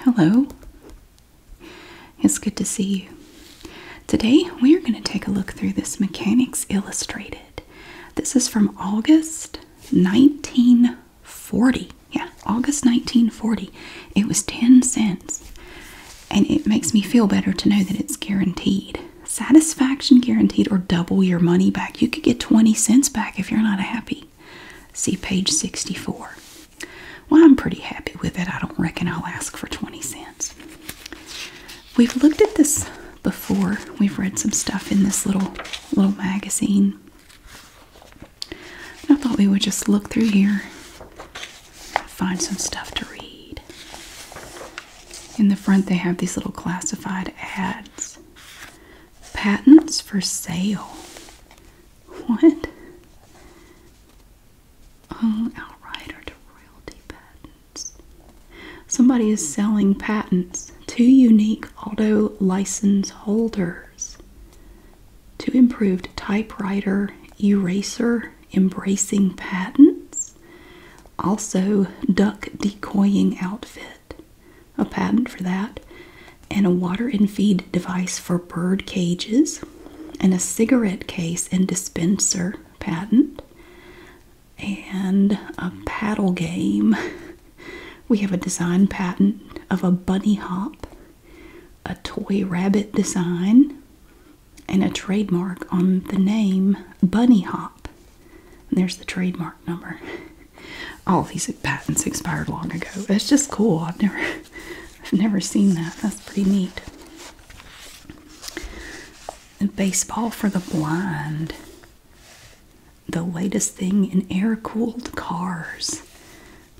Hello. It's good to see you. Today we are going to take a look through this Mechanics Illustrated. This is from August 1940. Yeah, August 1940. It was 10 cents. And it makes me feel better to know that it's guaranteed. Satisfaction guaranteed or double your money back. You could get 20 cents back if you're not happy. See page 64. Well, I'm pretty happy with it. I don't reckon I'll ask for 20 cents. We've looked at this before. We've read some stuff in this little little magazine. I thought we would just look through here, find some stuff to read. In the front they have these little classified ads. Patents for sale. What? Oh, outright royalty patents. Somebody is selling patents to unique auto license holders to improved typewriter eraser embracing patents. Also, duck decoying outfit a patent for that, and a water and feed device for bird cages, and a cigarette case and dispenser patent, and a paddle game. We have a design patent of a bunny hop, a toy rabbit design, and a trademark on the name Bunny Hop. And there's the trademark number. all oh, these patents expired long ago. It's just cool. I've never I've never seen that. That's pretty neat. baseball for the blind. The latest thing in air-cooled cars.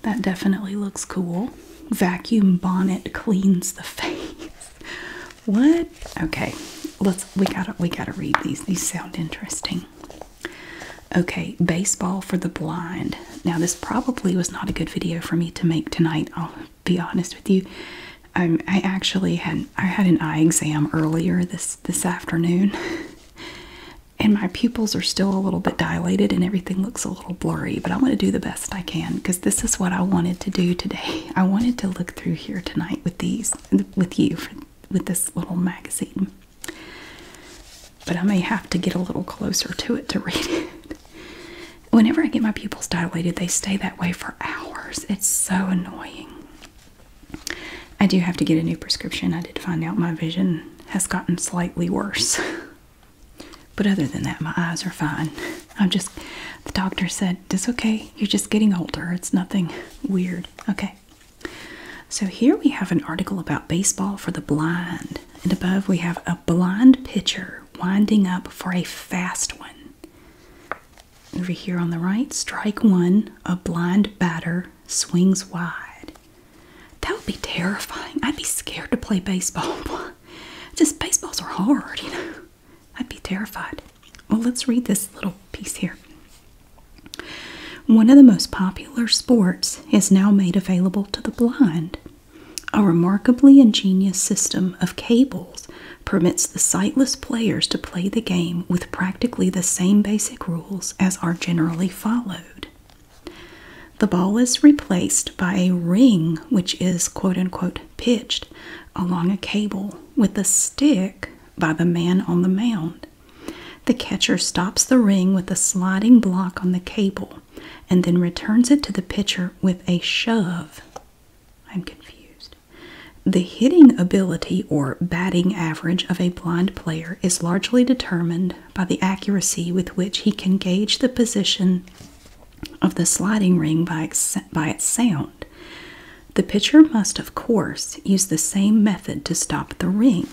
That definitely looks cool. Vacuum bonnet cleans the face. What? Okay. Let's we gotta we gotta read these. These sound interesting. Okay, baseball for the blind. Now, this probably was not a good video for me to make tonight. I'll be honest with you. Um, I actually had I had an eye exam earlier this this afternoon, and my pupils are still a little bit dilated, and everything looks a little blurry. But i want to do the best I can because this is what I wanted to do today. I wanted to look through here tonight with these with you with this little magazine. But I may have to get a little closer to it to read it. Whenever I get my pupils dilated, they stay that way for hours. It's so annoying. I do have to get a new prescription. I did find out my vision has gotten slightly worse. But other than that, my eyes are fine. I'm just, the doctor said, it's okay. You're just getting older. It's nothing weird. Okay. So here we have an article about baseball for the blind, and above we have a blind pitcher winding up for a fast one. Over here on the right, strike one, a blind batter swings wide. That would be terrifying. I'd be scared to play baseball. Just baseballs are hard, you know. I'd be terrified. Well, let's read this little piece here. One of the most popular sports is now made available to the blind. A remarkably ingenious system of cables permits the sightless players to play the game with practically the same basic rules as are generally followed. The ball is replaced by a ring, which is quote unquote pitched along a cable with a stick by the man on the mound. The catcher stops the ring with a sliding block on the cable and then returns it to the pitcher with a shove. I'm confused. The hitting ability or batting average of a blind player is largely determined by the accuracy with which he can gauge the position of the sliding ring by its, by its sound. The pitcher must, of course, use the same method to stop the ring.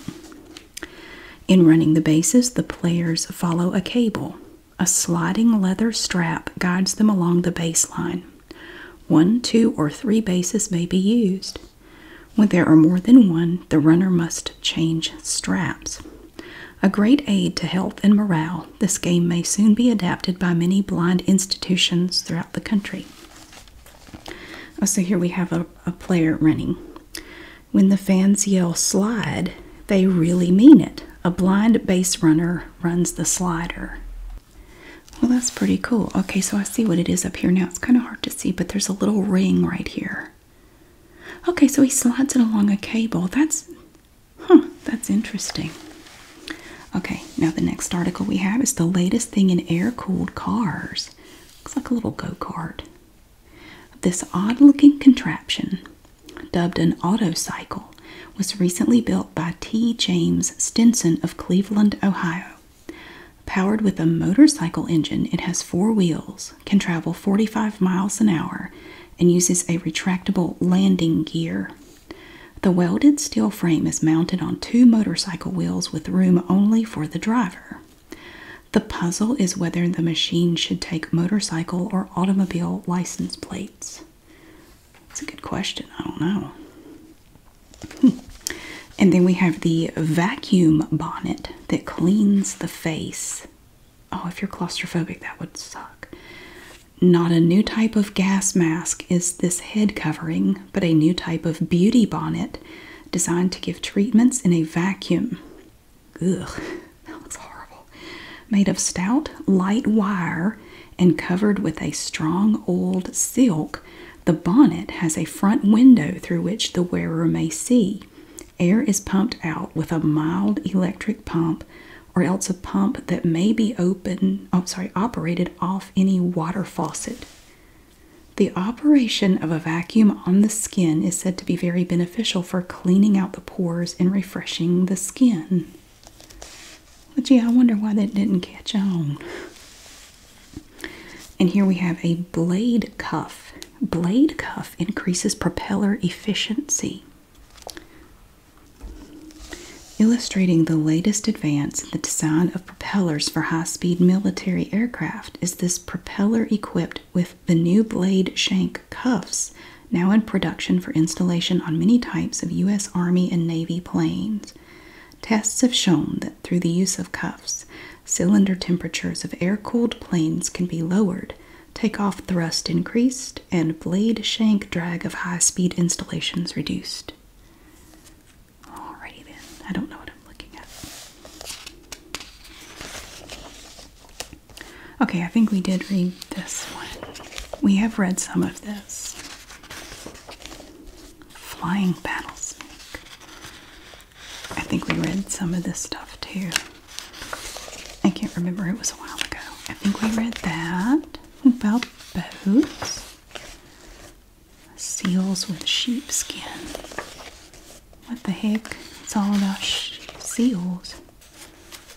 In running the bases, the players follow a cable. A sliding leather strap guides them along the baseline. One, two, or three bases may be used. When there are more than one, the runner must change straps. A great aid to health and morale, this game may soon be adapted by many blind institutions throughout the country. Oh, so here we have a player running when the fans yell slide, they really mean it. A blind base runner runs the slider. Well, that's pretty cool. Okay, so I see what it is up here now. It's kind of hard to see, but there's a little ring right here. Okay, so he slides it along a cable. That's, huh, that's interesting. Okay, now the next article we have is the latest thing in air cooled cars. Looks like a little go kart. This odd looking contraption, dubbed an autocycle, was recently built by T. James Stinson of Cleveland, Ohio. Powered with a motorcycle engine, it has four wheels, can travel 45 miles an hour, and uses a retractable landing gear. The welded steel frame is mounted on two motorcycle wheels with room only for the driver. The puzzle is whether the machine should take motorcycle or automobile license plates. It's a good question. I don't know. Hmm. And then we have the vacuum bonnet that cleans the face. Oh, if you're claustrophobic, that would suck. Not a new type of gas mask is this head covering, but a new type of beauty bonnet designed to give treatments in a vacuum. Ugh, that looks horrible. Made of stout, light wire and covered with a strong old silk, the bonnet has a front window through which the wearer may see. Air is pumped out with a mild electric pump or else a pump that may be open, oh sorry, operated off any water faucet. The operation of a vacuum on the skin is said to be very beneficial for cleaning out the pores and refreshing the skin. But gee, I wonder why that didn't catch on. And here we have a blade cuff. Blade cuff increases propeller efficiency. Illustrating the latest advance in the design of propellers for high speed military aircraft is this propeller equipped with the new blade shank cuffs, now in production for installation on many types of U.S. Army and Navy planes. Tests have shown that through the use of cuffs, cylinder temperatures of air cooled planes can be lowered, takeoff thrust increased, and blade shank drag of high speed installations reduced. Alrighty then, I don't know what I'm Okay, I think we did read this one. We have read some of this. Flying battle snake. I think we read some of this stuff too. I can't remember, it was a while ago. I think we read that about boats, seals with sheepskin. What the heck? It's all about seals.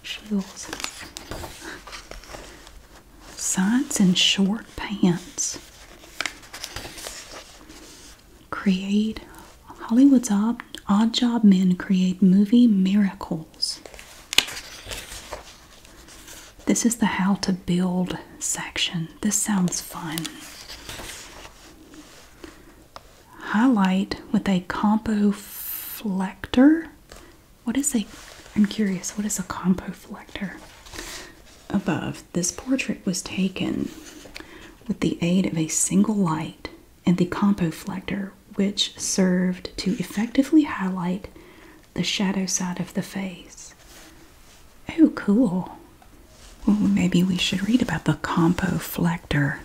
Seals. Science and short pants. Create Hollywood's odd, odd job men create movie miracles. This is the how to build section. This sounds fun highlight with a compoflector. What is a, I'm curious, what is a compoflector? Above, this portrait was taken with the aid of a single light and the compoflector, which served to effectively highlight the shadow side of the face. Oh, cool maybe we should read about the compoflector.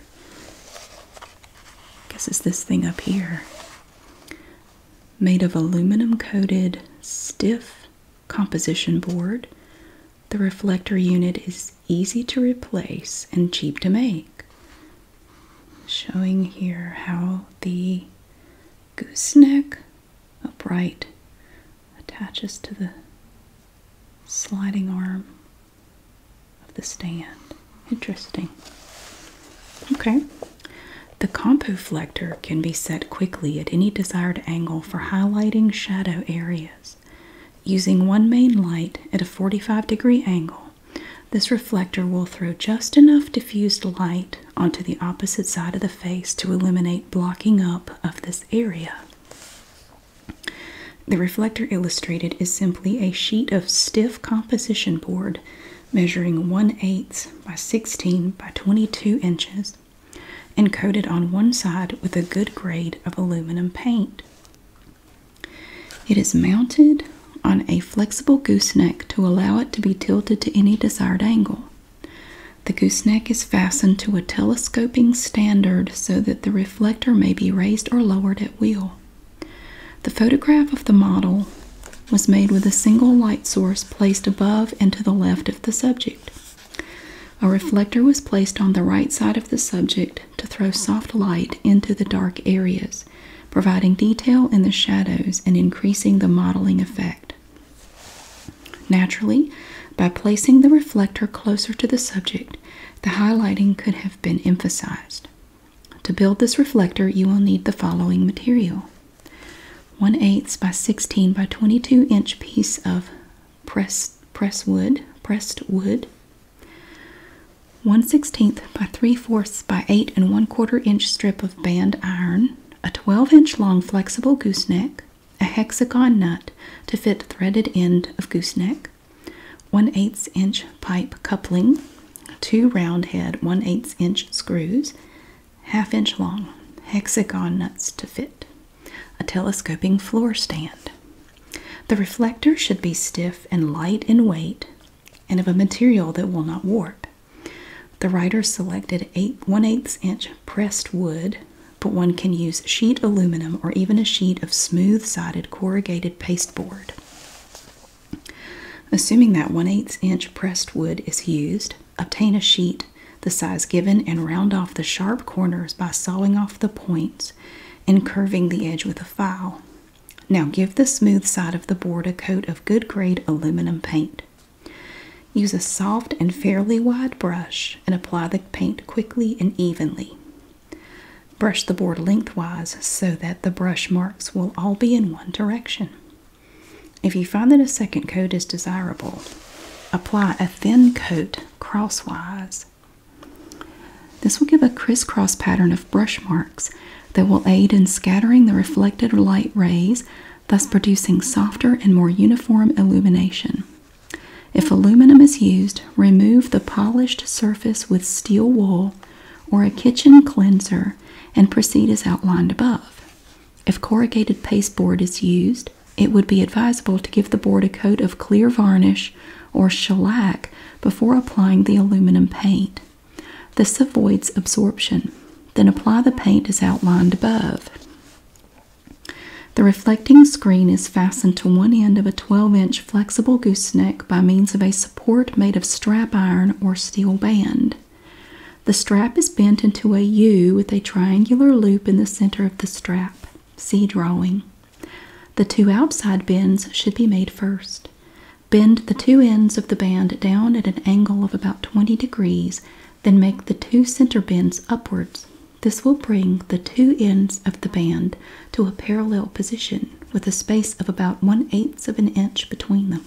I guess it's this thing up here. Made of aluminum coated stiff composition board, the reflector unit is easy to replace and cheap to make. Showing here how the gooseneck upright attaches to the sliding arm of the stand. Interesting. Okay. The compoflector can be set quickly at any desired angle for highlighting shadow areas. Using one main light at a 45 degree angle, this reflector will throw just enough diffused light onto the opposite side of the face to eliminate blocking up of this area. The reflector illustrated is simply a sheet of stiff composition board measuring 1 8 by 16 by 22 inches and coated on one side with a good grade of aluminum paint. It is mounted on a flexible gooseneck to allow it to be tilted to any desired angle. The gooseneck is fastened to a telescoping standard so that the reflector may be raised or lowered at will. The photograph of the model was made with a single light source placed above and to the left of the subject. A reflector was placed on the right side of the subject to throw soft light into the dark areas, providing detail in the shadows and increasing the modeling effect. Naturally, by placing the reflector closer to the subject, the highlighting could have been emphasized. To build this reflector, you will need the following material. 1 8 by 16 by 22 inch piece of pressed, press wood, pressed wood, 1 16th by 3 fourths by 8 and 1 quarter inch strip of band iron, a 12 inch long flexible gooseneck, a hexagon nut to fit threaded end of gooseneck, 1 8 inch pipe coupling, two round head 1 8 inch screws, half inch long, hexagon nuts to fit, a telescoping floor stand. The reflector should be stiff and light in weight and of a material that will not warp. The writer selected 8 1 8 inch pressed wood but one can use sheet aluminum or even a sheet of smooth sided corrugated pasteboard. Assuming that one-eighth inch pressed wood is used, obtain a sheet the size given and round off the sharp corners by sawing off the points and curving the edge with a file. Now give the smooth side of the board a coat of good grade aluminum paint. Use a soft and fairly wide brush and apply the paint quickly and evenly. Brush the board lengthwise so that the brush marks will all be in one direction. If you find that a second coat is desirable, apply a thin coat crosswise. This will give a crisscross pattern of brush marks that will aid in scattering the reflected light rays, thus producing softer and more uniform illumination. If aluminum is used, remove the polished surface with steel wool or a kitchen cleanser and proceed as outlined above. If corrugated pasteboard is used, it would be advisable to give the board a coat of clear varnish or shellac before applying the aluminum paint. This avoids absorption. Then apply the paint as outlined above. The reflecting screen is fastened to one end of a 12 inch flexible gooseneck by means of a support made of strap iron or steel band. The strap is bent into a U with a triangular loop in the center of the strap. See drawing. The two outside bends should be made first. Bend the two ends of the band down at an angle of about 20 degrees, then make the two center bends upwards. This will bring the two ends of the band to a parallel position with a space of about one eighth of an inch between them.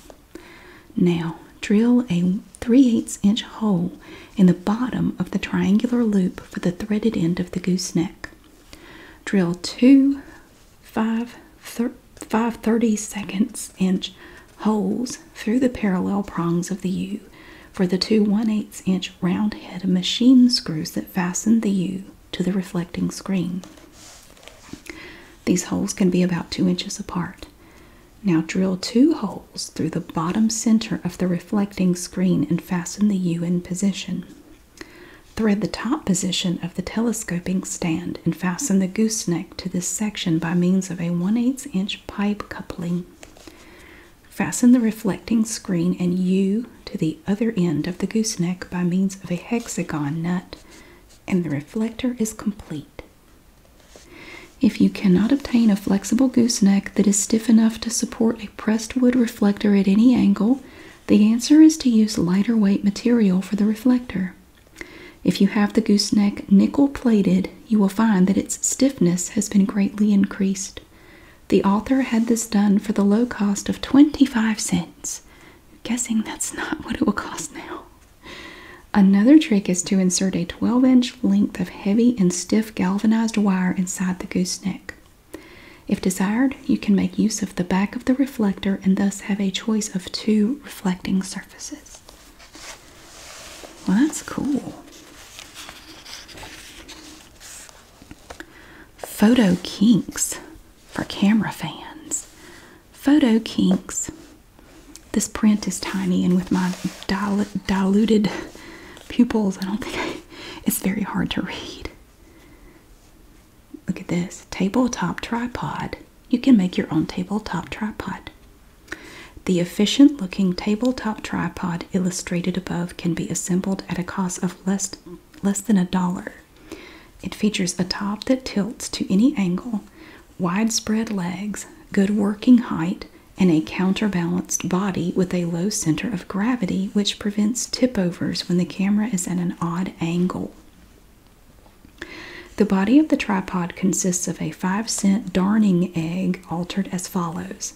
Now, drill a 3 8 inch hole in the bottom of the triangular loop for the threaded end of the gooseneck. Drill two 5 30 seconds inch holes through the parallel prongs of the U for the two 1 8 inch round head machine screws that fasten the U to the reflecting screen. These holes can be about two inches apart. Now drill two holes through the bottom center of the reflecting screen and fasten the U in position. Thread the top position of the telescoping stand and fasten the goose neck to this section by means of a 1 8 inch pipe coupling. Fasten the reflecting screen and U to the other end of the gooseneck by means of a hexagon nut, and the reflector is complete. If you cannot obtain a flexible gooseneck that is stiff enough to support a pressed wood reflector at any angle, the answer is to use lighter weight material for the reflector. If you have the gooseneck nickel plated, you will find that its stiffness has been greatly increased. The author had this done for the low cost of 25 cents. guessing that's not what it will cost now. Another trick is to insert a 12 inch length of heavy and stiff galvanized wire inside the gooseneck. If desired, you can make use of the back of the reflector and thus have a choice of two reflecting surfaces. Well, that's cool. Photo Kinks for camera fans. Photo Kinks. This print is tiny, and with my dil diluted pupils, I don't think it's very hard to read. Look at this tabletop tripod. You can make your own tabletop tripod. The efficient looking tabletop tripod illustrated above can be assembled at a cost of less less than a dollar. It features a top that tilts to any angle, widespread legs, good working height, and a counterbalanced body with a low center of gravity, which prevents tip overs when the camera is at an odd angle. The body of the tripod consists of a 5 cent darning egg altered as follows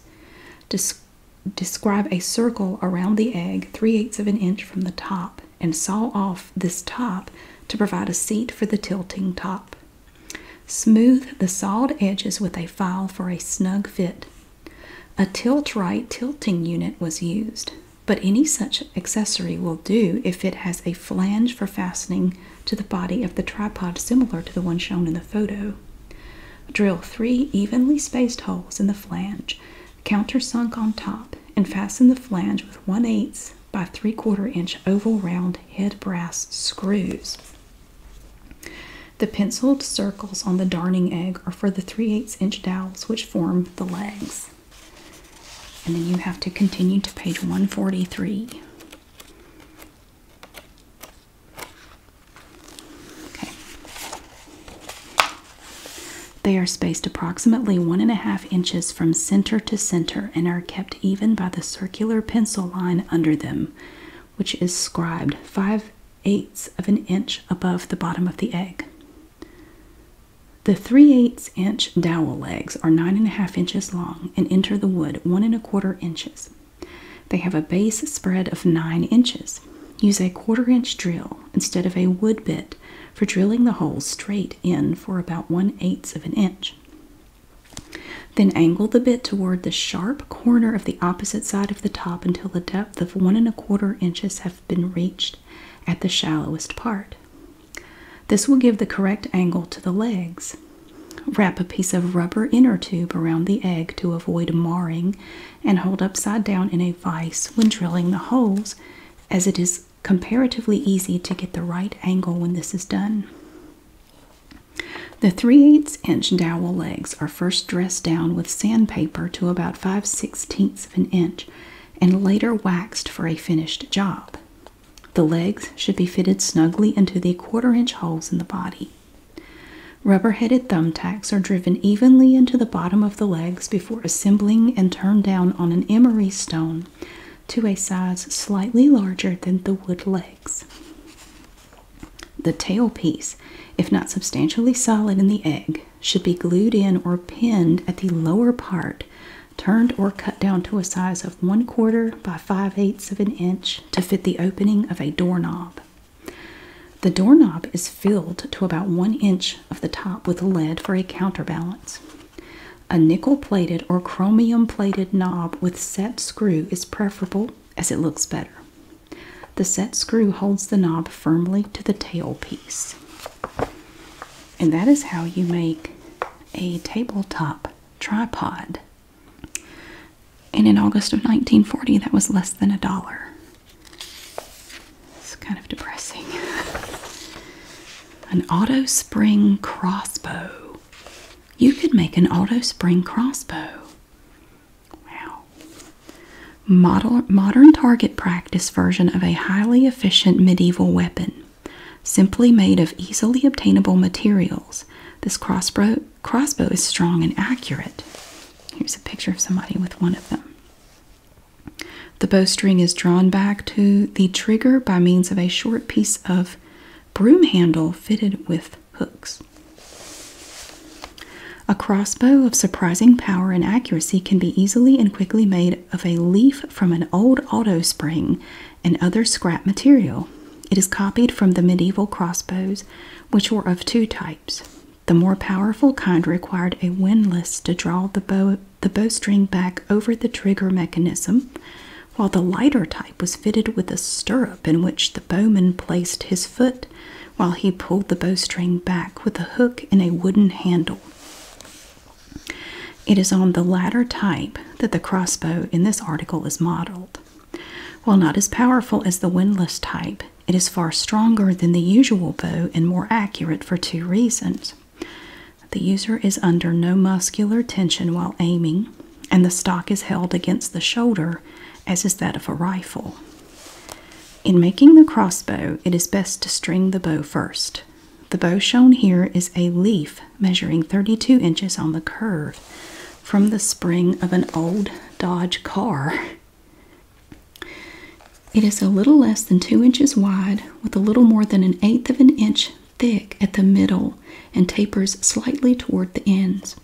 describe a circle around the egg 3 eighths of an inch from the top and saw off this top to provide a seat for the tilting top. Smooth the sawed edges with a file for a snug fit. A tilt right tilting unit was used, but any such accessory will do if it has a flange for fastening to the body of the tripod similar to the one shown in the photo. Drill three evenly spaced holes in the flange, countersunk on top, and fasten the flange with 1 8 by 3 4 inch oval round head brass screws. The penciled circles on the darning egg are for the 3 8 inch dowels which form the legs. And then you have to continue to page 143. They are spaced approximately one and a half inches from center to center and are kept even by the circular pencil line under them, which is scribed five eighths of an inch above the bottom of the egg. The three eighths inch dowel legs are nine and a half inches long and enter the wood one and a quarter inches. They have a base spread of 9 inches. Use a quarter inch drill instead of a wood bit for drilling the hole straight in for about 1 eighth of an inch. Then angle the bit toward the sharp corner of the opposite side of the top until the depth of one and a quarter inches have been reached at the shallowest part. This will give the correct angle to the legs. Wrap a piece of rubber inner tube around the egg to avoid marring and hold upside down in a advice when drilling the holes, as it is comparatively easy to get the right angle when this is done. The 3 8 inch dowel legs are first dressed down with sandpaper to about 5 16 of an inch and later waxed for a finished job. The legs should be fitted snugly into the quarter inch holes in the body. Rubber-headed thumbtacks are driven evenly into the bottom of the legs before assembling and turned down on an emery stone to a size slightly larger than the wood legs. The tail piece, if not substantially solid in the egg, should be glued in or pinned at the lower part, turned or cut down to a size of one quarter by five eighths of an inch to fit the opening of a doorknob. The doorknob is filled to about one inch of the top with lead for a counterbalance. A nickel plated or chromium plated knob with set screw is preferable as it looks better. The set screw holds the knob firmly to the tail piece. And that is how you make a tabletop tripod. And in August of 1940, that was less than a dollar. It's kind of depressing. an auto spring crossbow. You could make an auto spring crossbow. Wow. Model, modern target practice version of a highly efficient medieval weapon. Simply made of easily obtainable materials, this crossbow, crossbow is strong and accurate. Here's a picture of somebody with one of them. The bowstring is drawn back to the trigger by means of a short piece of broom handle fitted with hooks. A crossbow of surprising power and accuracy can be easily and quickly made of a leaf from an old auto spring and other scrap material. It is copied from the medieval crossbows, which were of two types the more powerful kind required a windlass to draw the bow the bowstring back over the trigger mechanism, while the lighter type was fitted with a stirrup in which the bowman placed his foot while he pulled the bowstring back with a hook in a wooden handle. It is on the latter type that the crossbow in this article is modeled. While not as powerful as the windlass type, it is far stronger than the usual bow and more accurate for two reasons. The user is under no muscular tension while aiming, and the stock is held against the shoulder, as is that of a rifle. In making the crossbow, it is best to string the bow first. The bow shown here is a leaf measuring 32 inches on the curve from the spring of an old Dodge car. It is a little less than two inches wide, with a little more than an eighth of an inch thick at the middle, and tapers slightly toward the ends.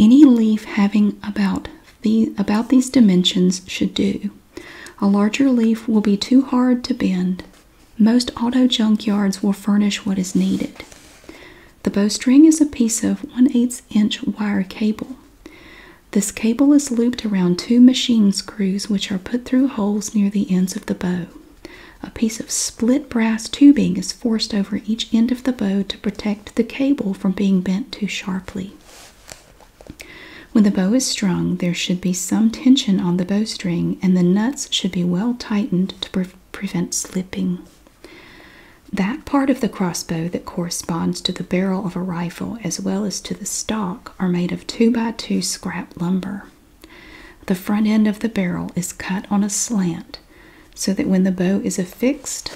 Any leaf having about these dimensions should do. A larger leaf will be too hard to bend. Most auto junkyards will furnish what is needed. The bowstring is a piece of one-eighth inch wire cable. This cable is looped around two machine screws, which are put through holes near the ends of the bow. A piece of split brass tubing is forced over each end of the bow to protect the cable from being bent too sharply. When the bow is strung, there should be some tension on the bowstring, and the nuts should be well tightened to prevent slipping. That part of the crossbow that corresponds to the barrel of a rifle as well as to the stock are made of 2 by 2 scrap lumber. The front end of the barrel is cut on a slant so that when the bow is affixed,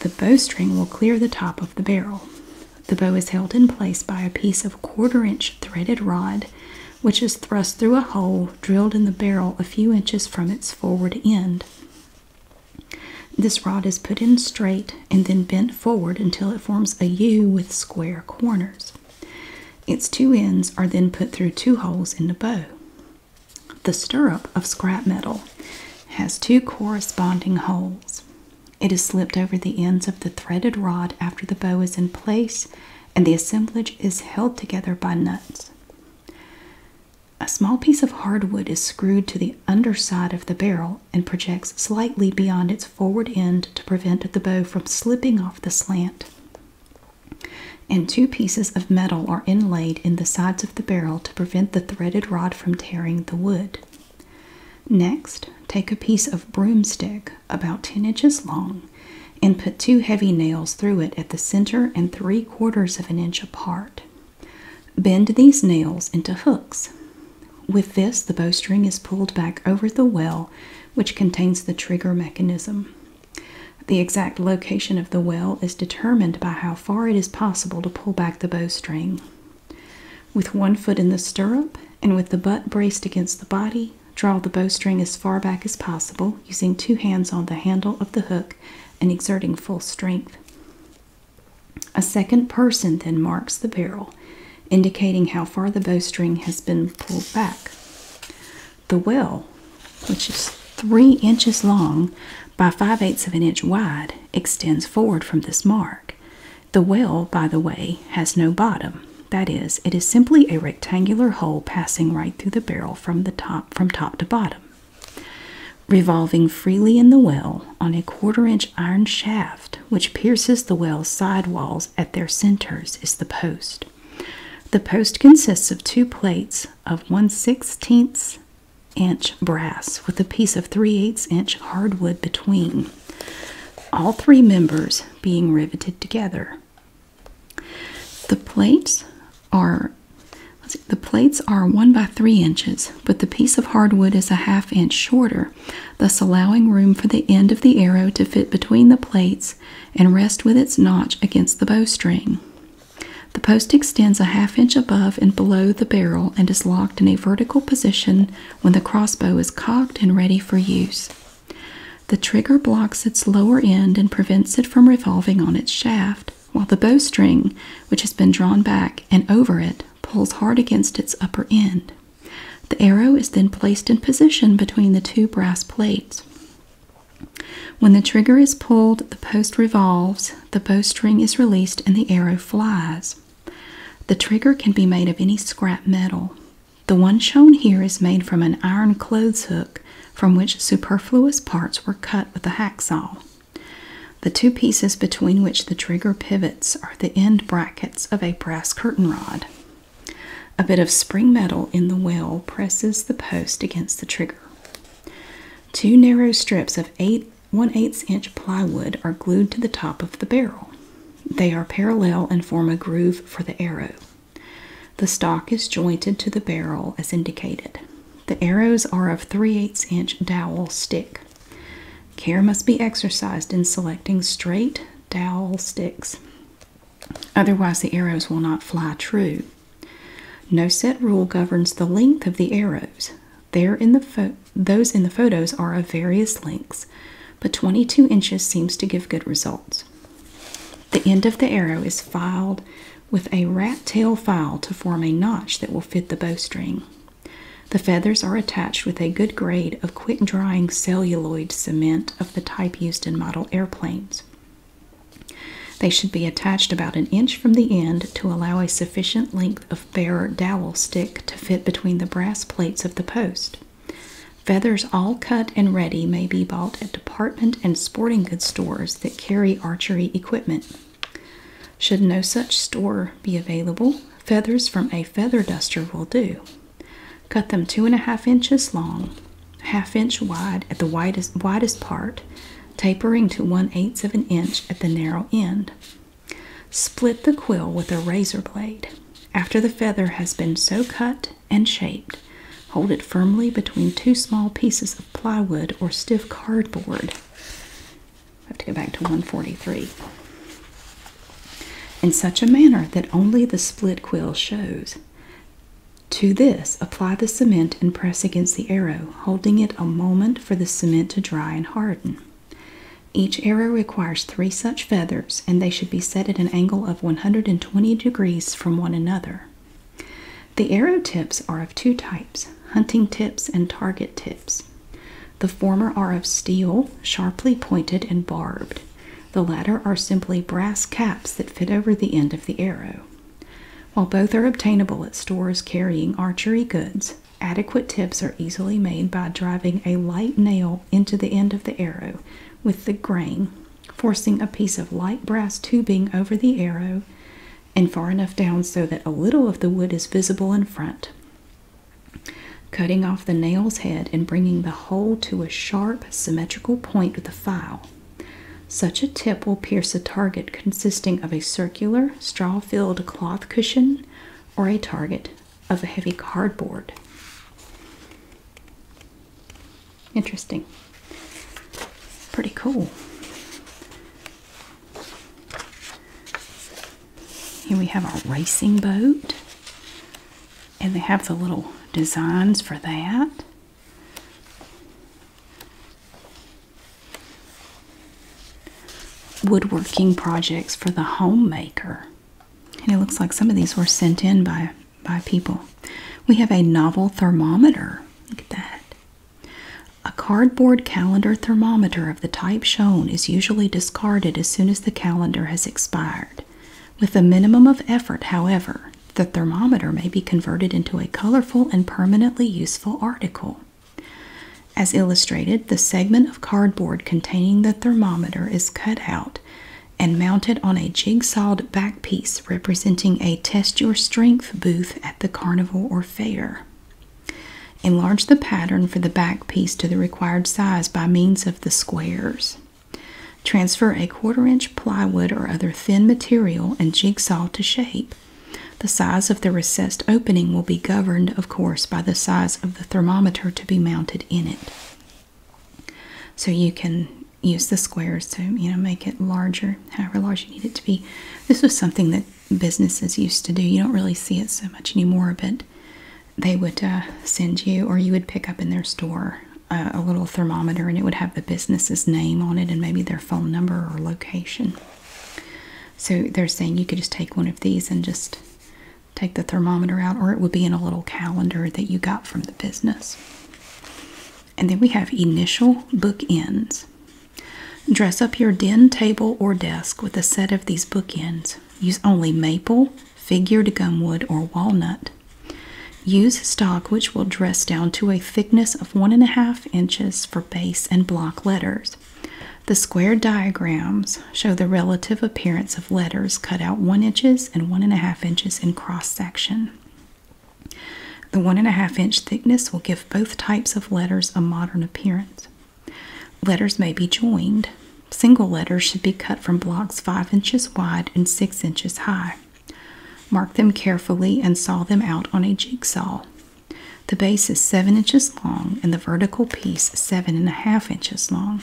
the bowstring will clear the top of the barrel. The bow is held in place by a piece of quarter inch threaded rod, which is thrust through a hole drilled in the barrel a few inches from its forward end. This rod is put in straight and then bent forward until it forms a U with square corners. Its two ends are then put through two holes in the bow. The stirrup of scrap metal has two corresponding holes. It is slipped over the ends of the threaded rod after the bow is in place and the assemblage is held together by nuts. A small piece of hardwood is screwed to the underside of the barrel and projects slightly beyond its forward end to prevent the bow from slipping off the slant. And two pieces of metal are inlaid in the sides of the barrel to prevent the threaded rod from tearing the wood. Next, take a piece of broomstick about 10 inches long and put two heavy nails through it at the center and three quarters of an inch apart. Bend these nails into hooks. With this, the bowstring is pulled back over the well, which contains the trigger mechanism. The exact location of the well is determined by how far it is possible to pull back the bowstring. With one foot in the stirrup and with the butt braced against the body, draw the bowstring as far back as possible using two hands on the handle of the hook and exerting full strength. A second person then marks the barrel, indicating how far the bowstring has been pulled back. The well, which is three inches long by five eighths of an inch wide, extends forward from this mark. The well, by the way, has no bottom. That is, it is simply a rectangular hole passing right through the barrel from the top from top to bottom revolving freely in the well on a quarter inch iron shaft which pierces the well's side walls at their centers is the post the post consists of two plates of one inch brass with a piece of 3 eighths inch hardwood between all three members being riveted together the plates are the plates are one by three inches, but the piece of hardwood is a half inch shorter, thus allowing room for the end of the arrow to fit between the plates and rest with its notch against the bowstring. The post extends a half inch above and below the barrel and is locked in a vertical position when the crossbow is cocked and ready for use. The trigger blocks its lower end and prevents it from revolving on its shaft, while the bowstring, which has been drawn back and over it, pulls hard against its upper end. The arrow is then placed in position between the two brass plates. When the trigger is pulled, the post revolves, the bowstring is released, and the arrow flies. The trigger can be made of any scrap metal. The one shown here is made from an iron clothes hook from which superfluous parts were cut with a hacksaw. The two pieces between which the trigger pivots are the end brackets of a brass curtain rod. A bit of spring metal in the well presses the post against the trigger. Two narrow strips of 8 1/8 inch plywood are glued to the top of the barrel. They are parallel and form a groove for the arrow. The stock is jointed to the barrel as indicated. The arrows are of 3 8 inch dowel stick. Care must be exercised in selecting straight dowel sticks, otherwise, the arrows will not fly true. No set rule governs the length of the arrows. those in the photos are of various lengths, but 22 inches seems to give good results. The end of the arrow is filed with a rat tail file to form a notch that will fit the bowstring. The feathers are attached with a good grade of quick drying celluloid cement of the type used in model airplanes. They should be attached about an inch from the end to allow a sufficient length of bare dowel stick to fit between the brass plates of the post. Feathers all cut and ready may be bought at department and sporting goods stores that carry archery equipment. Should no such store be available, feathers from a feather duster will do. Cut them two and a half inches long, half inch wide at the widest, widest part, tapering to one eighth of an inch at the narrow end. Split the quill with a razor blade. After the feather has been so cut and shaped, hold it firmly between two small pieces of plywood or stiff cardboard. I have to go back to 143. In such a manner that only the split quill shows. To this, apply the cement and press against the arrow, holding it a moment for the cement to dry and harden. Each arrow requires three such feathers, and they should be set at an angle of 120 degrees from one another. The arrow tips are of two types hunting tips and target tips. The former are of steel, sharply pointed and barbed. The latter are simply brass caps that fit over the end of the arrow. While both are obtainable at stores carrying archery goods, adequate tips are easily made by driving a light nail into the end of the arrow with the grain, forcing a piece of light brass tubing over the arrow and far enough down so that a little of the wood is visible in front. Cutting off the nail's head and bringing the whole to a sharp, symmetrical point with a file. Such a tip will pierce a target consisting of a circular, straw filled cloth cushion or a target of a heavy cardboard. Interesting. Pretty cool. Here we have our racing boat. And they have the little designs for that. Woodworking projects for the homemaker. And it looks like some of these were sent in by, by people. We have a novel thermometer. Look at that. A cardboard calendar thermometer of the type shown is usually discarded as soon as the calendar has expired. With a minimum of effort, however, the thermometer may be converted into a colorful and permanently useful article. As illustrated, the segment of cardboard containing the thermometer is cut out and mounted on a jigsawed back piece representing a test your strength booth at the carnival or fair. Enlarge the pattern for the back piece to the required size by means of the squares. Transfer a quarter inch plywood or other thin material and jigsaw to shape. The size of the recessed opening will be governed, of course, by the size of the thermometer to be mounted in it. So you can use the squares to, you know, make it larger, however large you need it to be. This was something that businesses used to do. You don't really see it so much anymore, but they would uh, send you, or you would pick up in their store uh, a little thermometer and it would have the business's name on it and maybe their phone number or location. So they're saying you could just take one of these and just take the thermometer out, or it would be in a little calendar that you got from the business. And then we have initial bookends. Dress up your den, table, or desk with a set of these bookends. Use only maple, figured gumwood, or walnut. Use stock which will dress down to a thickness of one and a half inches for base and block letters. The square diagrams show the relative appearance of letters cut out one inches and one and a half inches in cross section. The one and a half inch thickness will give both types of letters a modern appearance. Letters may be joined. Single letters should be cut from blocks 5 inches wide and 6 inches high. Mark them carefully and saw them out on a jigsaw. The base is 7 inches long and the vertical piece 7.5 inches long,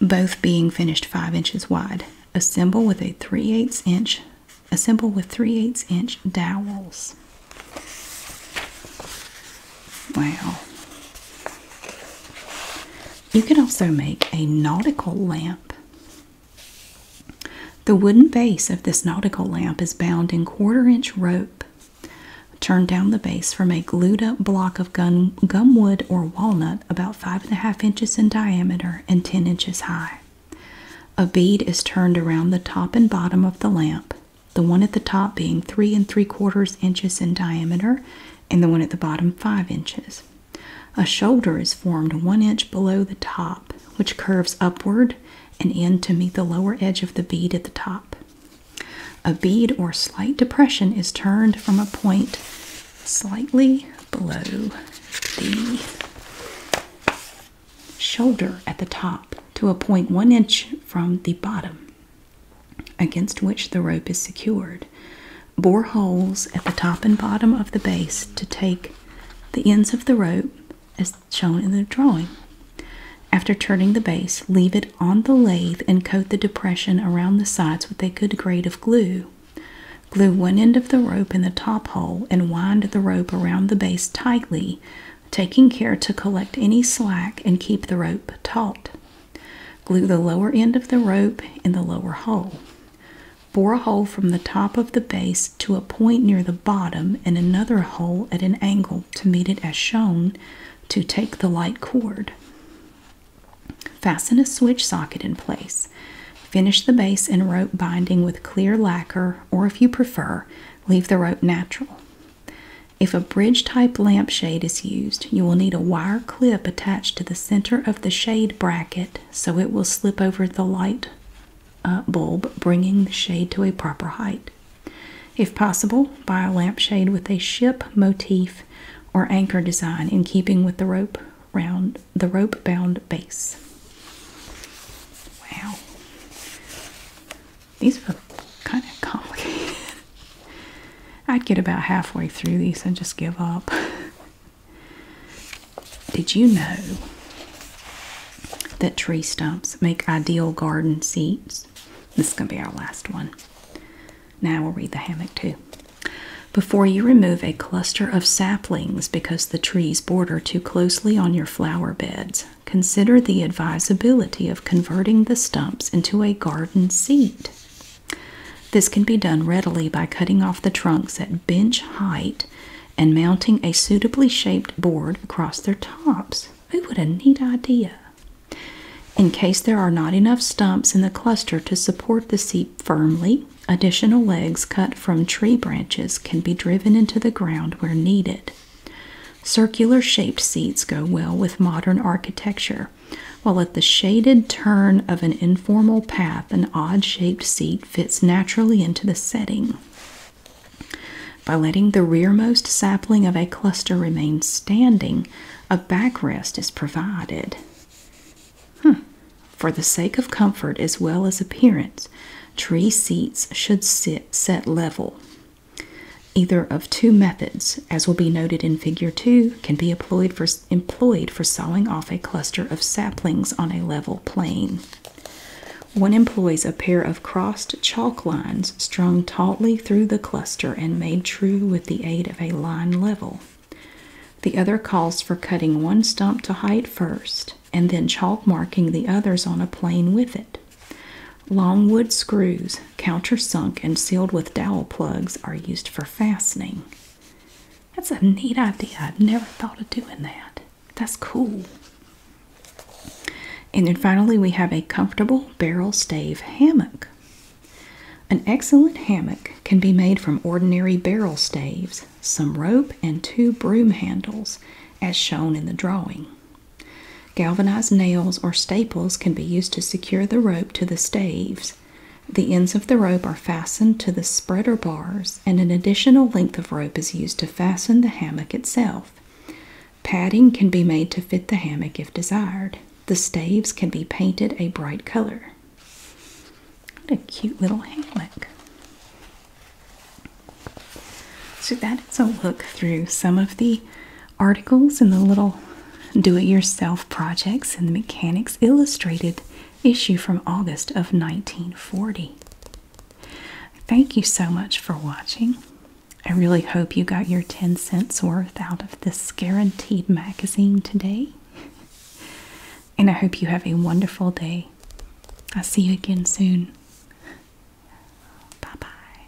both being finished 5 inches wide. Assemble with 3 8 assemble with 3 8 inch dowels. Wow. You can also make a nautical lamp. The wooden base of this nautical lamp is bound in quarter inch rope. Turn down the base from a glued up block of gum gumwood or walnut about five and a half inches in diameter and ten inches high. A bead is turned around the top and bottom of the lamp the one at the top being three and three quarters inches in diameter, and the one at the bottom five inches. A shoulder is formed one inch below the top, which curves upward and in to meet the lower edge of the bead at the top. A bead or slight depression is turned from a point slightly below the shoulder at the top to a point one inch from the bottom against which the rope is secured. Bore holes at the top and bottom of the base to take the ends of the rope as shown in the drawing. After turning the base, leave it on the lathe and coat the depression around the sides with a good grade of glue. Glue one end of the rope in the top hole and wind the rope around the base tightly taking care to collect any slack and keep the rope taut. Glue the lower end of the rope in the lower hole. Bore a hole from the top of the base to a point near the bottom and another hole at an angle to meet it as shown to take the light cord. Fasten a switch socket in place. Finish the base and rope binding with clear lacquer, or if you prefer, leave the rope natural. If a bridge type lampshade is used, you will need a wire clip attached to the center of the shade bracket so it will slip over the light uh, bulb, bringing the shade to a proper height. If possible, buy a lampshade with a ship motif or anchor design in keeping with the rope round the rope bound base. Wow. These were kind of complicated. I'd get about halfway through these and just give up. Did you know that tree stumps make ideal garden seats? This is going to be our last one. Now we'll read the hammock too. Before you remove a cluster of saplings because the trees border too closely on your flower beds, consider the advisability of converting the stumps into a garden seat. This can be done readily by cutting off the trunks at bench height and mounting a suitably shaped board across their tops. Oh, what a neat idea! In case there are not enough stumps in the cluster to support the seat firmly, additional legs cut from tree branches can be driven into the ground where needed. Circular shaped seats go well with modern architecture, while at the shaded turn of an informal path, an odd shaped seat fits naturally into the setting. By letting the rearmost sapling of a cluster remain standing, a backrest is provided. Hmm. For the sake of comfort as well as appearance, tree seats should sit set level. Either of two methods, as will be noted in Figure 2, can be employed for, employed for sawing off a cluster of saplings on a level plane. One employs a pair of crossed chalk lines strung tautly through the cluster and made true with the aid of a line level. The other calls for cutting one stump to height first and then chalk marking the others on a plane with it it. Longwood screws, countersunk and sealed with dowel plugs, are used for fastening. That's a neat idea. I've never thought of doing that. That's cool. And then finally, we have a comfortable barrel stave hammock. An excellent hammock can be made from ordinary barrel staves, some rope, and two broom handles, as shown in the drawing. Galvanized nails or staples can be used to secure the rope to the staves. The ends of the rope are fastened to the spreader bars, and an additional length of rope is used to fasten the hammock itself. Padding can be made to fit the hammock if desired. The staves can be painted a bright color. What a cute little hammock. So, that is a look through some of the articles and the little do-it-yourself projects in the Mechanics Illustrated issue from August of 1940. Thank you so much for watching. I really hope you got your 10 cents worth out of this guaranteed magazine today. And I hope you have a wonderful day. I'll see you again soon. Bye bye.